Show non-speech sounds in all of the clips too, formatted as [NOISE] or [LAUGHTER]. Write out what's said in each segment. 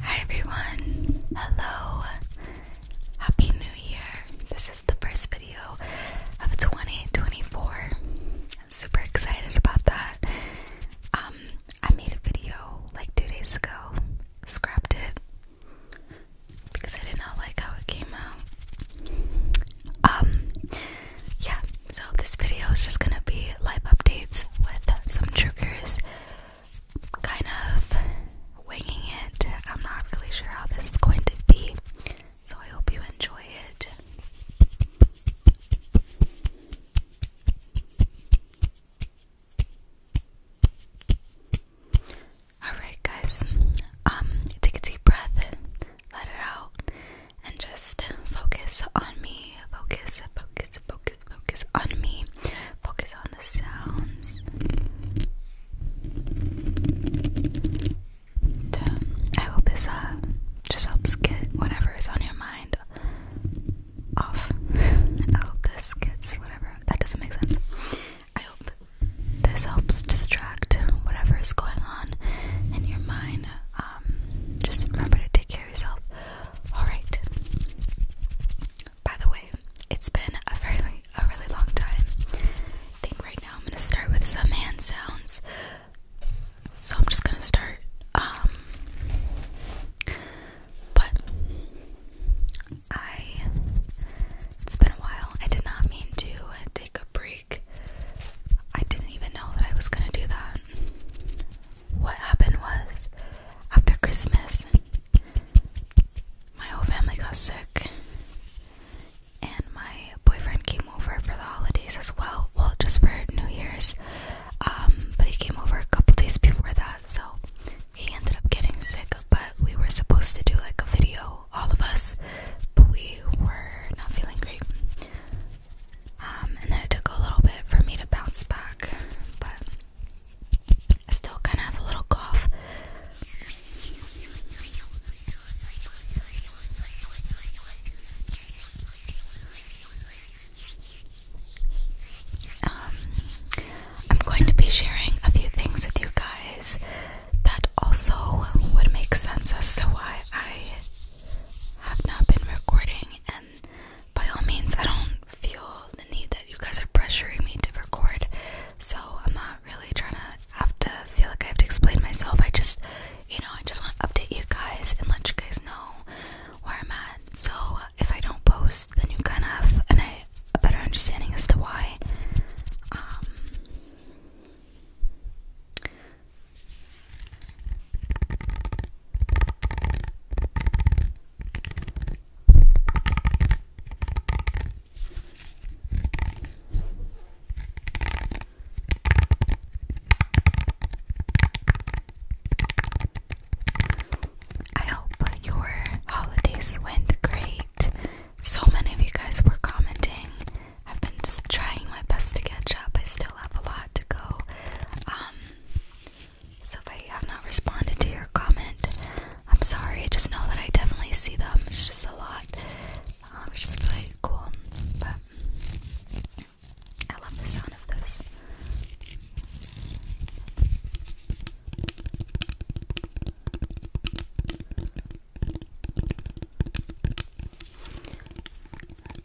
Hi everyone! Hello! Happy New Year! This is the first video of 2024. I'm super excited about that. Um, I made a video like two days ago, scrapped it because I did not like how it came out. Um, yeah, so this video is just gonna be live updates with some triggers, kind of winging it. I'm not really sure how this is going to be, so I hope you enjoy it. Alright, guys, um, take a deep breath, let it out, and just focus on me. Focus, focus, focus focus, on me, focus on the sounds. I hope this uh, just helps get whatever is on your mind off. [LAUGHS] I hope this gets whatever. That doesn't make sense. I hope this helps distract whatever is going on in your mind. Um, just remember to take care. Alright. By the way, it's been a really a really long time. think right now I'm gonna start with some hand sounds. So I'm just gonna start um, but I it's been a while. I did not mean to take a break. I didn't even know that I was gonna do that. What happened was after Christmas, my whole family got sick, and my boyfriend came over for the holidays as well. Well, just for New Year's, um, but he came over a couple days before that, so he ended up getting sick. But we were supposed to do like a video, all of us, but we were not feeling great, um, and then it took a little bit for me to bounce back, but I still kind of have a little cough. Um, I'm going to be sharing a few things with you guys that also would make sense as to why I have not been recording by all means, I don't feel the need that you guys are pressuring me to record, so I'm not really trying to have to feel like I have to explain myself. I just, you know, I just want to update you guys and let you guys know where I'm at. So if I don't post, then you kind of have a better understanding as to why. Um, I hope your holidays went great. So many of you guys were commenting. I've been trying my best to catch up. I still have a lot to go. Um, so if I have not responded to your comment, I'm sorry. Just know that I definitely see them. It's just a lot, um, which really cool. But I love the sound of this.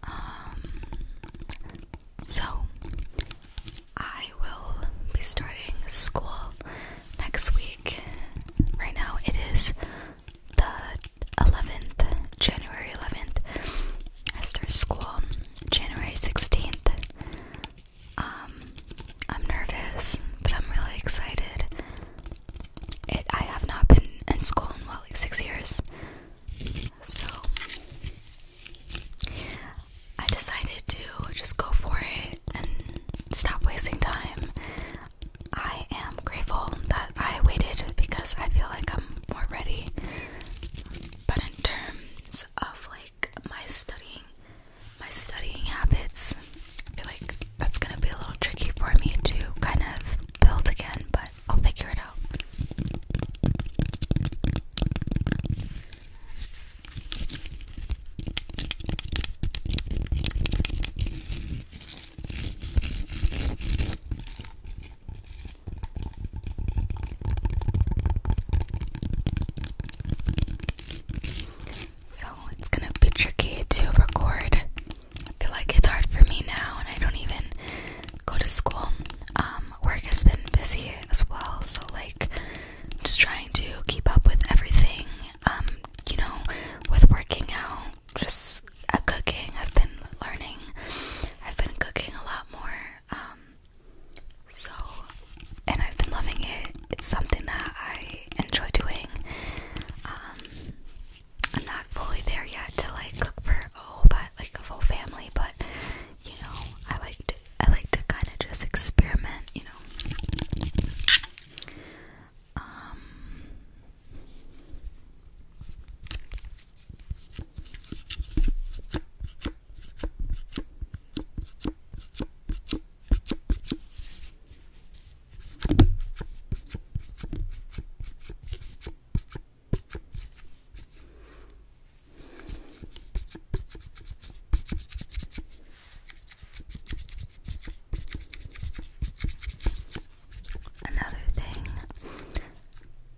Um. So, I will be starting school next week. Right now it is the 11th, January 11th. I start school January 16th. Um, I'm nervous, but I'm really excited. It I have not been in school in well like six years. So I decided to just go for it and stop wasting time. I am grateful that I waited because I feel like I'm more ready. But in terms of like my studying, my studying habits, I feel like that's gonna be a little tricky for me to kind of build again, but I'll figure it out. So it's gonna be tricky to record. I feel like it's hard for me now, and I don't even go to school. Um, work has been busy as well, so like just trying to keep up with everything. Um, you know, with working out, just cooking. I've been learning. I've been cooking a lot more. Um, so, and I've been loving it. It's something that I enjoy doing. Um, I'm not fully there yet to like cook for oh, but like a full family, but you know, I like to I like to kind of just experiment, you know. Um, Another thing,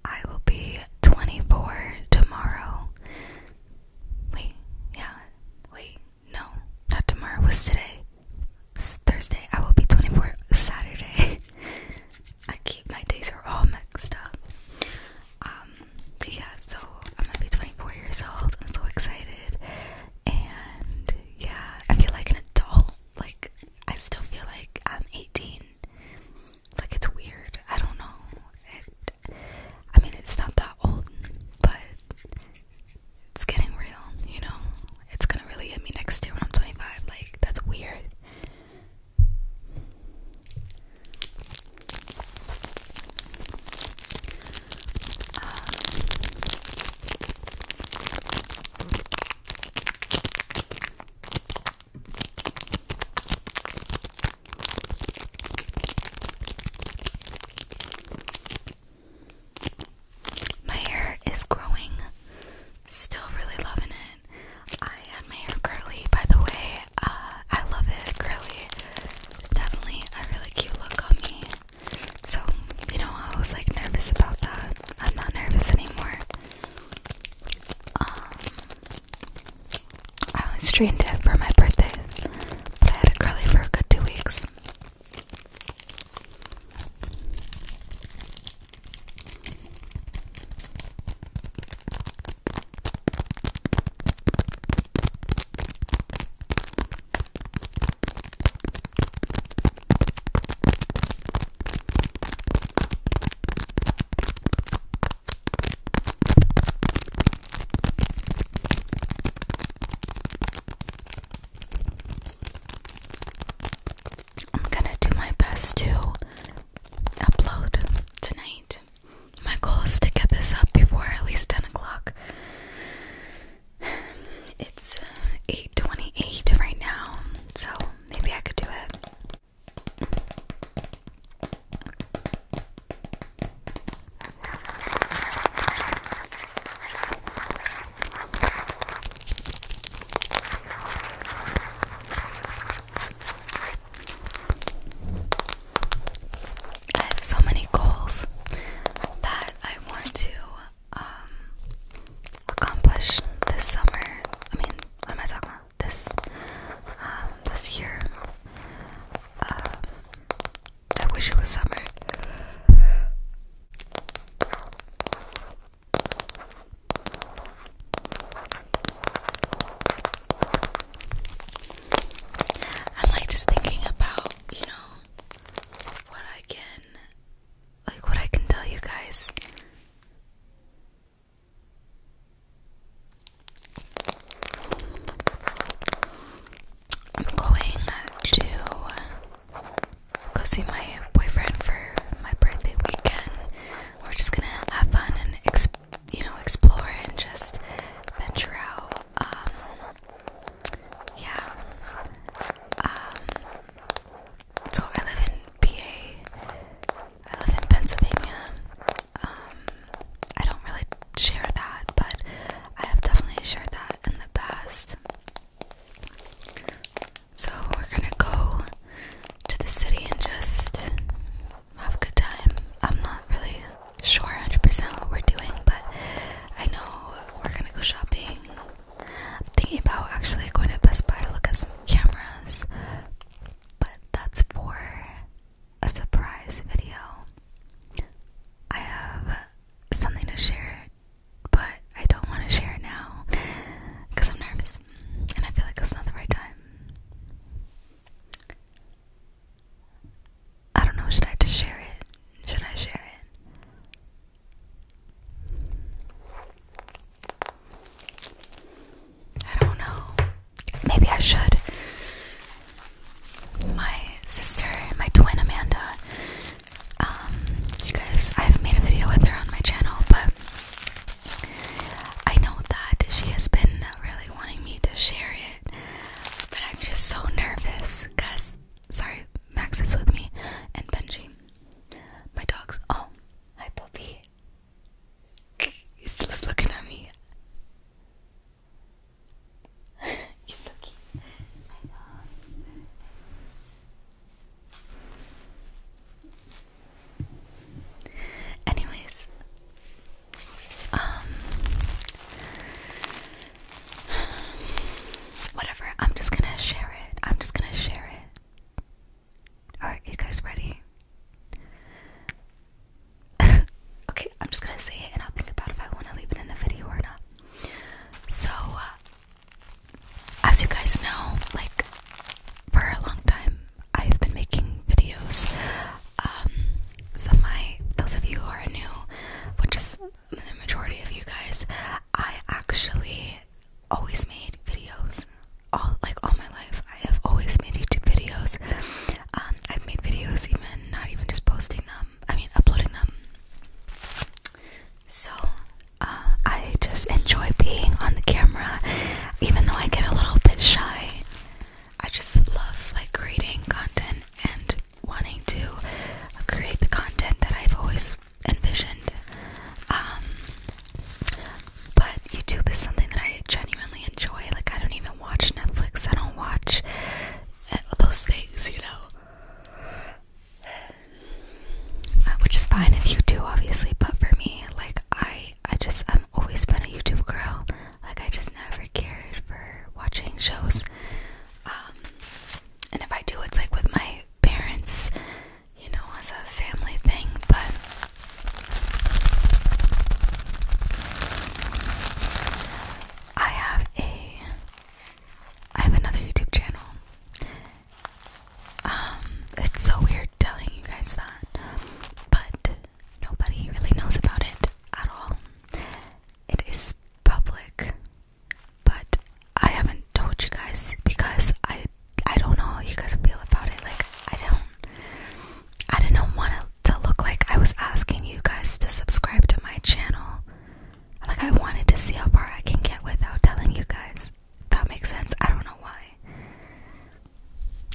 I will be 24 tomorrow. Wait, yeah, wait, no, not tomorrow, was today. Thursday, I will be 24 Saturday. [LAUGHS] I keep my days are all mixed up. Um, yeah, so I'm gonna be 24 years old. I'm so excited. And yeah, I feel like an adult. Like, I still feel like I'm 18. Like, it's weird. I don't know. It, I mean, it's not that old, but it's getting real, you know? It's gonna really hit me next year when I'm 25. Like, that's weird. My hair is growing. Still really loving it. I had my hair curly, by the way. Uh, I love it. Curly, definitely a really cute look on me. So, you know, I was like nervous about that. I'm not nervous anymore. Um, I only straightened it for my birthday, but I had it curly for a good two weeks. I'm gonna do my best to upload tonight. My goal is to get this up before at least 10 o'clock. It's 8:28 uh, right now, so maybe I could do it. I have so many goals that I want to um, accomplish this summer. I mean, what am I talking about? This um, this year. Um, I wish it was summer. I'm like just thinking about, you know, what I can like what I can tell you guys. I'm going to go see my boyfriend for my birthday weekend. We're just gonna have fun and exp you know, explore and just venture out. Um, yeah. Um, so I live in PA. I live in Pennsylvania. Um, I don't really share that, but I have definitely shared that in the past. So we're gonna go to the city and just have a good time. I'm not really sure 100% what we're doing, but I know we're gonna go shopping. I'm thinking about actually going to Best Buy to look at some cameras, but that's for a surprise video. I have something to share, but I don't want to share it now because I'm nervous and I feel like it's not the right time. I don't know, should I just share it? Should I share it? I don't know. Maybe I should. My sister, my twin Amanda, um, you guys, I've made a video with her on my channel, but I know that she has been really wanting me to share it. But I'm just so nervous because, sorry, Max is with me and Benji. My dog's, oh, hi puppy. He's just looking at me. You're so cute. I know. Anyways, um, whatever. I'm just gonna share it. I'm just gonna share it. Alright, you guys ready? [LAUGHS] okay, I'm just gonna say it and I'll think about if I wanna leave it in the video or not. So, uh, as you guys know, like, for a long time, I've been making videos um, so my those of you who are new, which is the majority of you guys, I actually always made videos. All like all my life, I have always made YouTube videos. Um, I've made videos even not even just posting them. I mean uploading them. So uh, I just enjoy being on the camera, even though I get a little bit shy. I just love like creating content and wanting to create the content that I've always envisioned. Um, but YouTube is something that I genuinely enjoy. Like I don't even watch Netflix. I don't watch eh, those things, you know. Uh, which is fine if you do, obviously. But for me, like I, I just, I've always been a YouTube girl. Like I just never cared for watching shows. Um, and if I do, it's like with my parents, you know, as a family thing. But I have a, I have another YouTube channel. Um, it's so weird telling you guys that, but Nobody really knows about it at all. It is public, but I haven't told you guys because I I don't know how you guys feel about it. Like I don't I do not know want it to look like I was asking you guys to subscribe to my channel. Like I wanted to see how far I can get without telling you guys. that makes sense. I don't know why.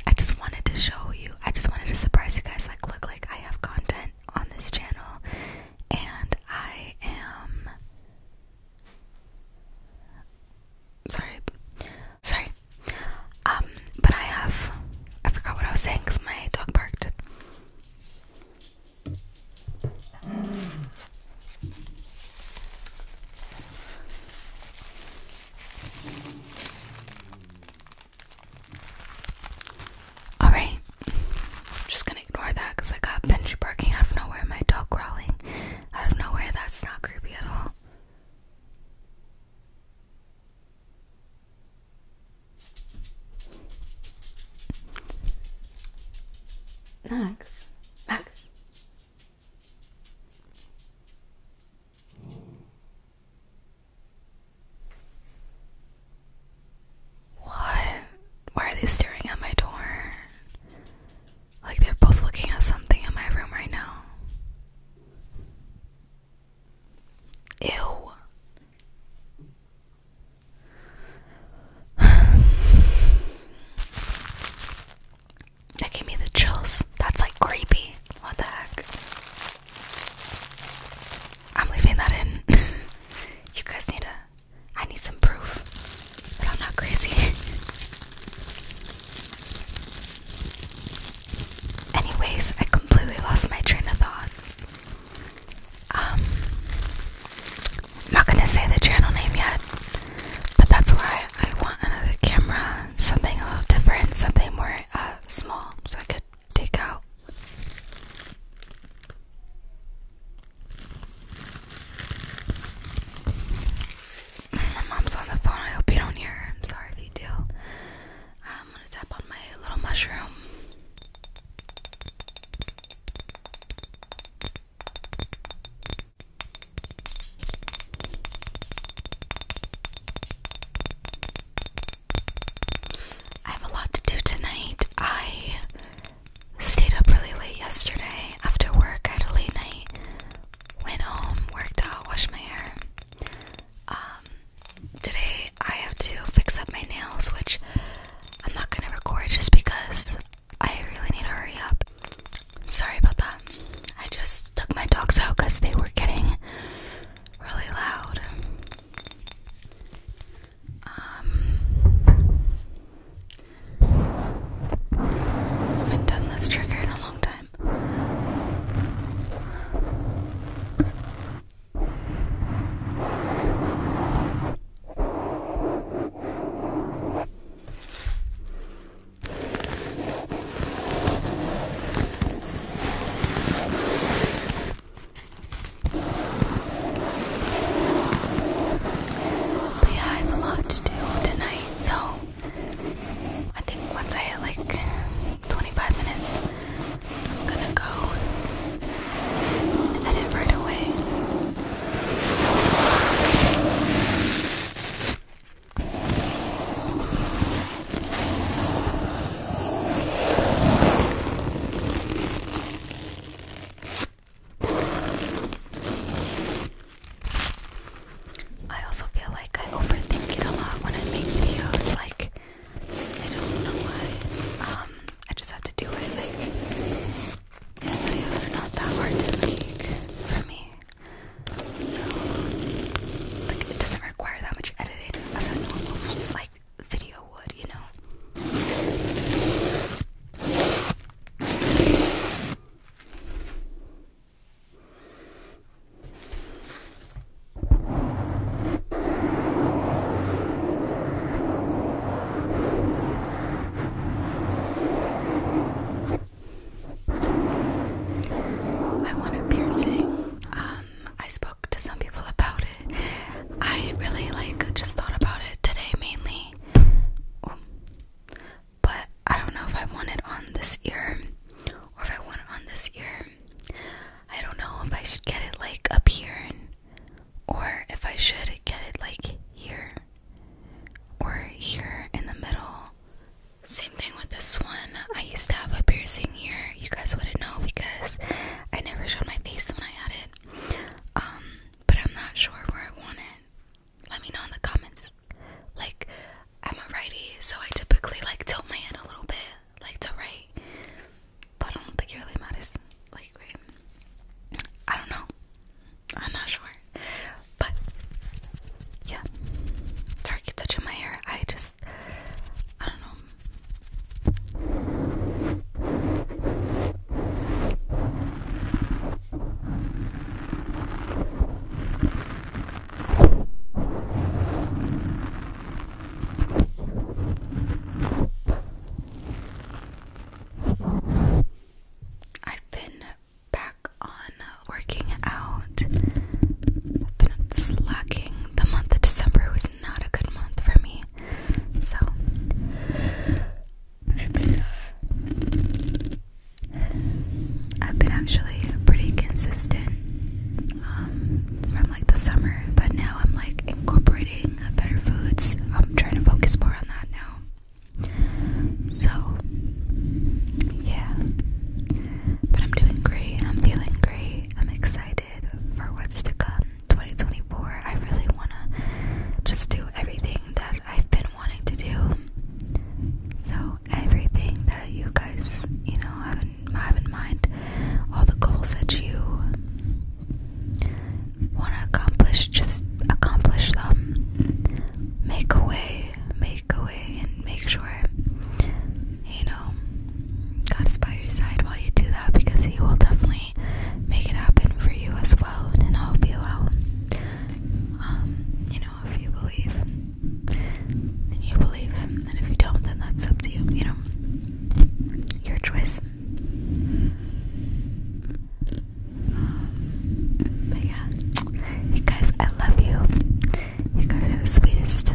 I just wanted to show you. I just wanted to surprise you guys. Like, look, like I have content on this channel, and I am sorry, sorry. Um, but I have I forgot what I was saying because my dog barked. Alright, I'm just gonna ignore that because I got Benji barking out of nowhere, my dog growling out of nowhere. That's not creepy at all. Max, Max. What? Why are they staring at my door? Like they're both looking at something in my room right now. Ew. [SIGHS] That gave me the chills. That's like creepy. What the heck? I'm leaving that in. [LAUGHS] you guys need a. I need some proof but I'm not crazy. [LAUGHS] Anyways, I completely lost my train of thought. Um, I'm not gonna say the channel name yet, but that's why I want another camera, something a little different, something more uh, small, so I could take out. My mom's on the phone. I hope you don't hear I'm sorry if you do. I'm gonna tap on my little mushroom. I have a lot to do tonight. I stayed up really late yesterday after work. I had a late night. Went home, worked out, washed my hair. Um, today I have to fix up my nails, which I'm not gonna record just because I really need to hurry up. Sorry about that. I just took my dogs out because they were getting really loud. I um, haven't done this trigger in a long time. But I have a lot to do tonight, so I think once I hit like 25 minutes, I'm gonna go and edit right away. I also feel like I overthink it a lot when I make videos. Like, I don't know why. Um, I just have to do it. Like, these videos are not that hard to make for me. So, like, it doesn't require that much editing as a normal, like, video would, you know. I want piercing. Um, I to some people about it. I really like just thought about it today mainly. But I don't know if I want it on this ear or if I want it on this ear. I don't know if I should get it like up here or if I should get it like here or here in the middle. Same thing with this one. I used to have a piercing here. You guys wouldn't know because I never showed my face when I had it. Um, but I'm not sure where I want it. Let me know in the comments. Like, I'm a righty, so I typically like tilt my head a little bit, like to right. But I don't think it really matters. Like, I don't know. I'm not sure. But yeah. Sorry keep touching my hair. I just I don't know. I've been back on working out. I've been slacking. The month of December was not a good month for me. So I've been actually pretty consistent um, from like the summer, but now I'm like incorporating better foods. I'm trying to focus more on that now. So yeah, but I'm doing great. I'm feeling great. I'm excited for what's to come 2024. I really want to just do everything that I've been wanting to do. So, everything that you guys, you know, have have in mind, all the goals that you want to accomplish, just accomplish them. Make a way, make a way, and make sure, you know, God is by your side while you do that because He will definitely make it happen for you as well and I hope you will. Um, you know, if you believe you believe and if you don't then that's up to you, you know. Your choice. but yeah, you guys, I love you. You guys are the sweetest.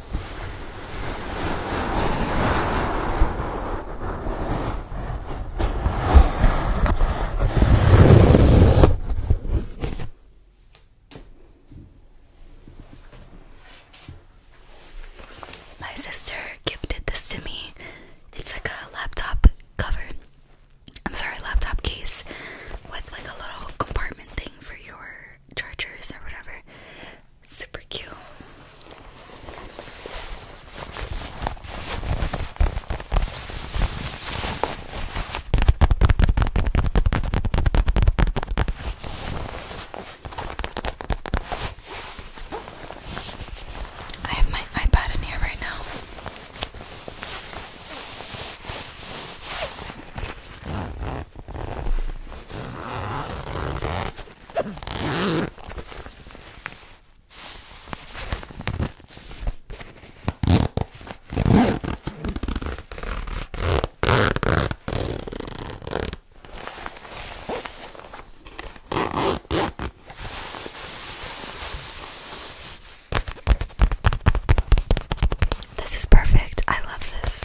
My sister gifted this to me. It's like a laptop cover. I'm sorry, laptop case with like a little compartment thing for your chargers or whatever. Super cute. I have my iPad in here right now. This is perfect. I love this.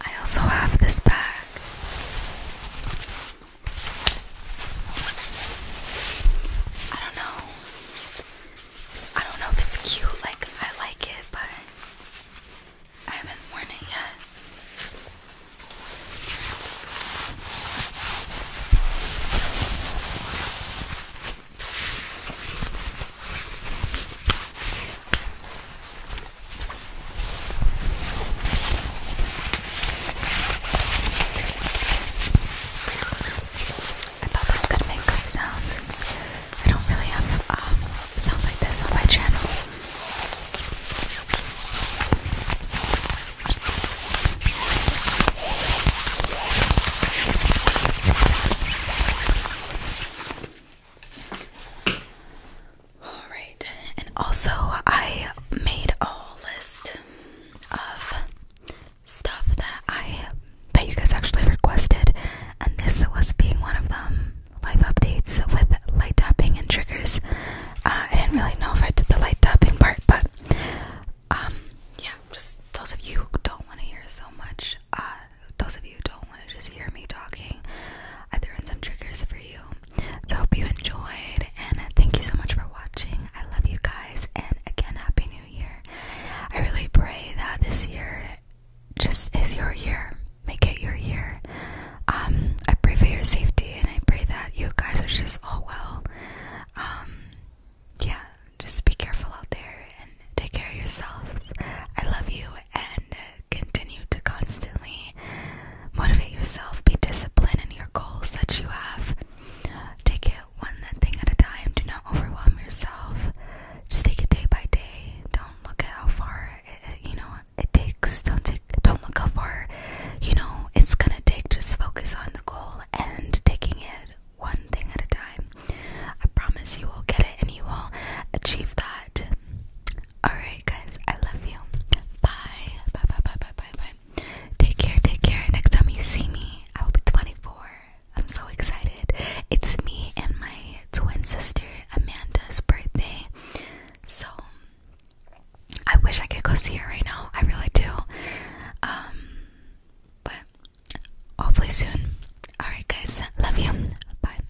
I also have this bag. I don't know. I don't know if it's cute, like, I like it, but I haven't worn it yet. I thought this could make good sounds I don't really have um, sounds like this on my channel. Alright, and also I made a list of stuff that I that you guys actually requested and this was being one of them. Live updates with light tapping and triggers. Uh, I didn't really know if I did the light tapping part, but um yeah, just those of you who don't want to hear so much, uh, those of you who don't want to just hear me talking, I threw in some triggers for you. So hope you enjoyed, and thank you so much for watching. I love you guys, and again, happy New Year. I really pray that this year just is your year. Make it your year. Um, I pray for your safety, and I pray that you guys are just all well. Um, yeah, just be careful out there and take care of yourselves. I love you, and uh, continue to constantly motivate yourself, be disciplined in your goals that you have. Take it one thing at a time, do not overwhelm yourself. Just take it day by day. Don't look at how far it, you know it takes. Don't take don't look how far you know it's gonna take. Just focus on the goal and taking it one thing at a time. I promise you will get it and you will achieve that. Alright, guys, I love you. Bye. Bye, bye, bye, bye, bye, Take care, take care. Next time you see me, I will be 24. I'm so excited. It's me and my twin sister Amanda's birthday. So, I wish I could go see her right now. I really do. Um, but hopefully soon. Alright, guys, love you. Bye.